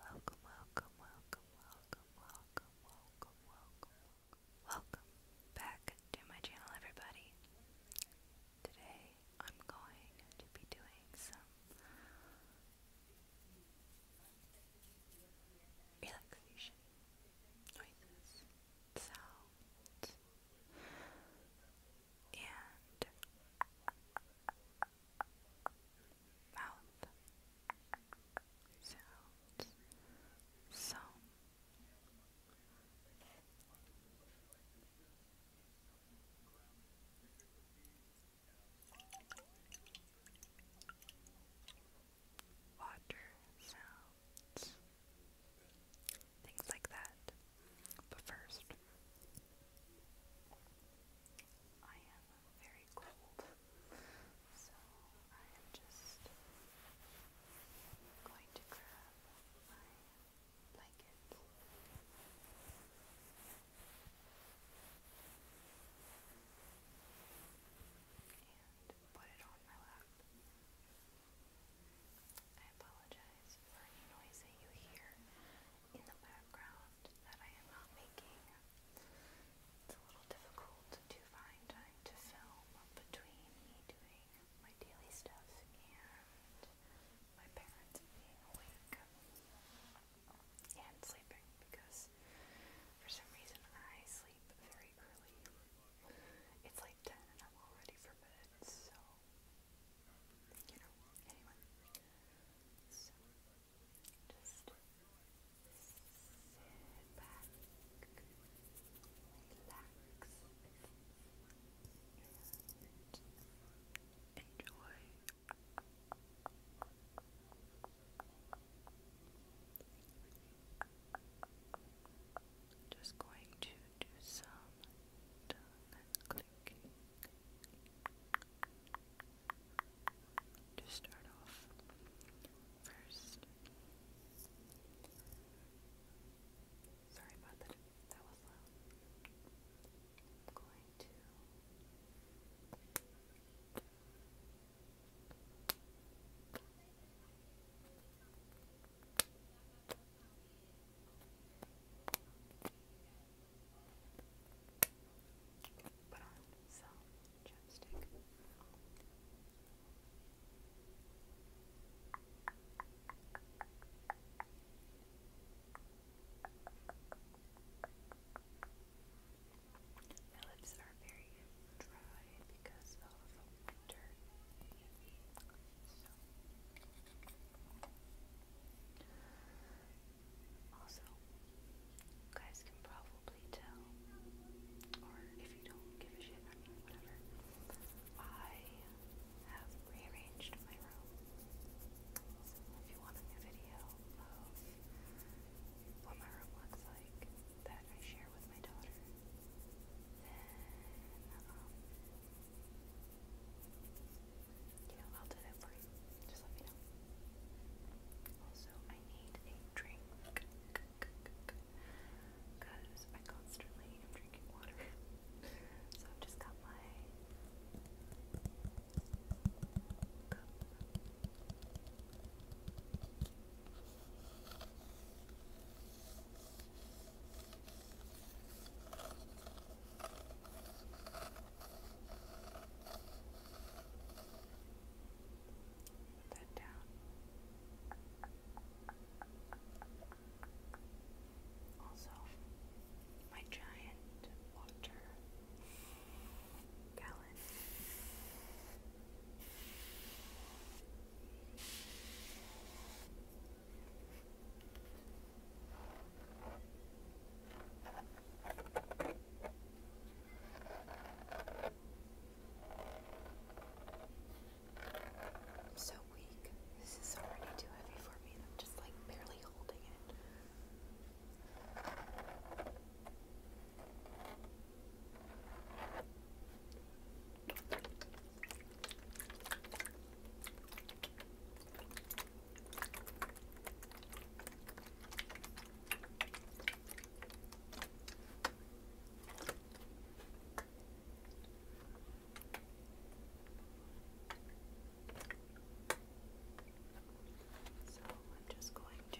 Welcome, welcome, welcome, welcome, welcome, welcome, welcome, welcome. back to my channel, everybody. Today I'm going to be doing some relaxation noises, and mouth sounds. So water sounds, things like that. But first, I am very cold, so I am just going to grab my blanket. And put it on my lap. I apologize for any noise that you hear in the background that I am not making. It's a little difficult to find time to film between me doing my daily stuff and my parents being awake and sleeping because for some reason I sleep very early. It's like 10 and I'm already for bed, so you know, anyone. So, just sit back, relax, and enjoy. Just going to do some clicking to start off first. Sorry about that, that was loud. I'm going to Thank you. Put on some chapstick. My lips are very dry because of winter. Also, you guys can probably tell, or if you don't give a shit, whatever, I have rearranged my room. if you want a new video of what my room looks like that I share with my daughter, then um, you know, I'll do that for you. Just let me know. Also, I need a drink because I constantly am drinking water. so I've just got my cup. Okay. Put that down. Also, my giant water gallon so weak. This is already too heavy for me. I'm just like barely holding it. So I'm just going to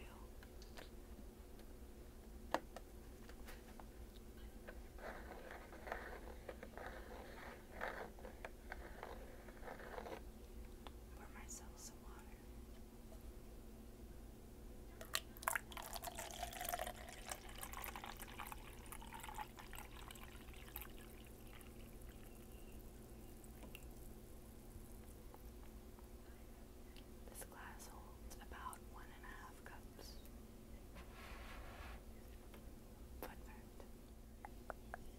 Pour myself some water. This glass holds about one and a half cups. Footnotes. Footnote. Okay.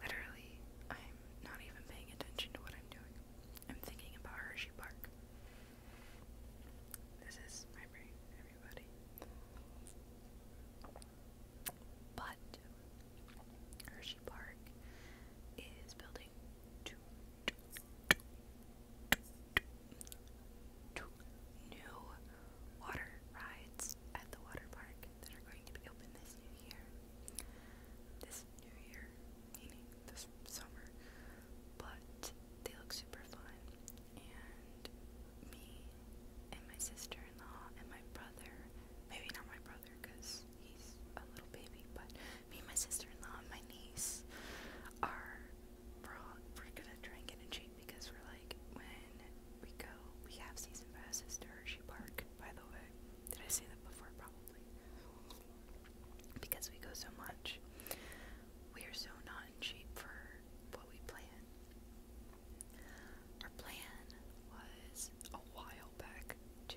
Literally, I'm not even paying attention to what I'm doing. I'm thinking about Hershey Park. This is my brain, everybody. But Hershey Park is building two, two, two, two, two new water rides at the water park that are going to be open this new year. This new year, meaning this summer. But they look super fun and me and my sister-in-law and my brother, maybe not my brother because he's a little baby, but me and my sister-in-law and my niece are, we're, all, we're gonna try and get in shape because we're like, when we go, we have season passes to Hershey Park, by the way, did I say that before? Probably. Because we go so much, we are so not in shape for what we plan. Our plan was a while back to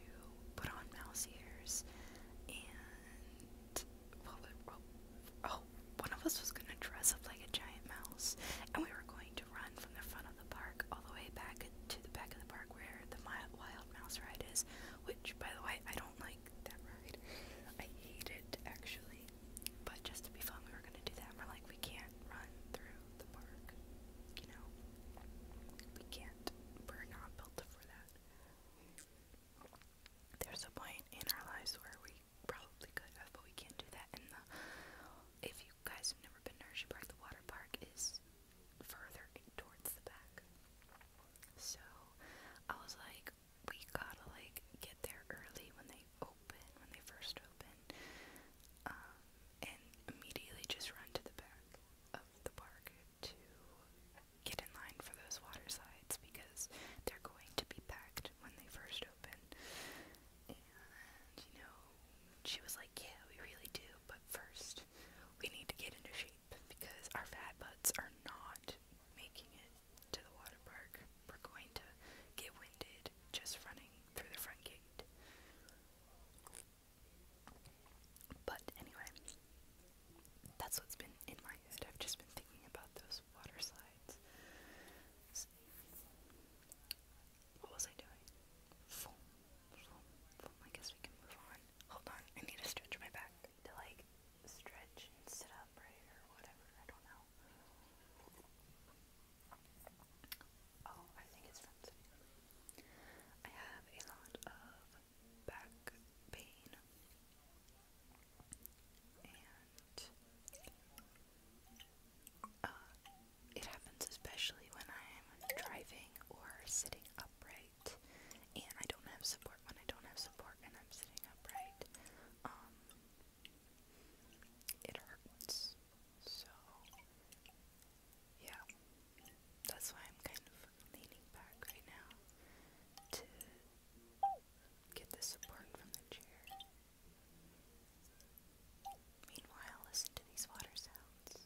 put on mouse ears and what oh, of us was gonna dress up like a giant mouse and we were going to run from the front of the park all the way back to the back of the park where the wild mouse ride is, which by the way I don't like that ride. I hate it actually. But just to be fun, we were gonna do that. And we're like, we can't run through the park, you know. We can't. We're not built for that. There's a point in our lives where we probably could have, but we can't do that. And the, if you guys have never been to Hershey Park, the water park is further in, towards the back. So I was like, we gotta like get there early when they open, when they first open, um, and immediately just run to the back of the park to get in line for those water because they're going to be packed when they first open. And you know, she was like, "Yeah, we really do, but first we need to get into shape because our fat butts are not making it to the water park. We're going to get winded just running through the front gate. But anyway, that's what's been in my head. I've just been thinking about those water slides. what was I doing? I guess we can move on. Hold on, I need to stretch my back. like stretch and sit up or whatever. I don't know. Oh, I think it's from I have a lot of back pain and uh, it happens especially when I'm driving or sitting upright and I don't have support when I don't have support and I'm sitting upright. Um, it hurts. So, yeah, that's why I'm kind of leaning back right now to get the support from the chair. Meanwhile, listen to these water sounds.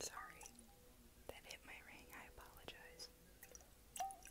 Sorry, that hit my ring. I apologize.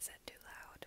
Is that too loud?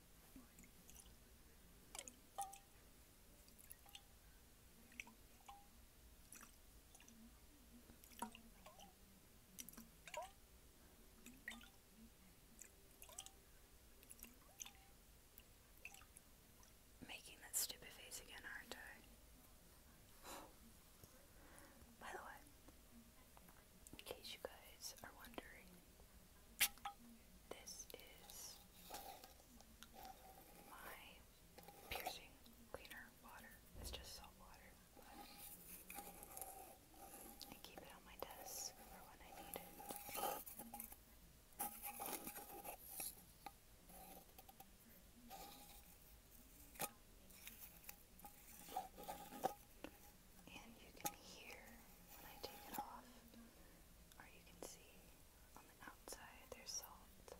Making that stupid face again, aren't I? By the way, in case you guys are wondering, this is my piercing cleaner water. It's just salt water. I keep it on my desk for when I need and you can hear when I take it off, or you can see on the outside there's salt.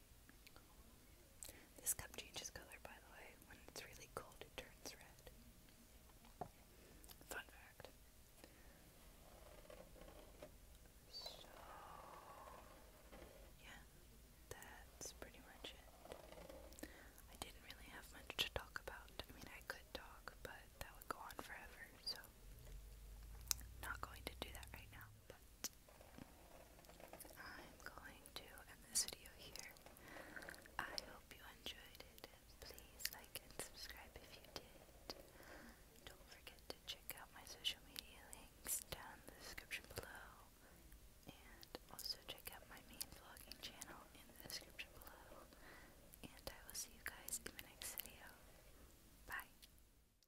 This cup changes color, by the way. When it's really cold, it turns red. Fun fact. So, yeah, that's pretty much it. I didn't really have much to talk about. I mean, I could talk, but that would go on forever, so not going to do that right now. But I'm going to end this video here. I hope you enjoyed it. Please like and subscribe if you did. Don't forget to check out my social media links down the description below. And also check out my main vlogging channel in the description below. And I will see you guys in my next video. Bye.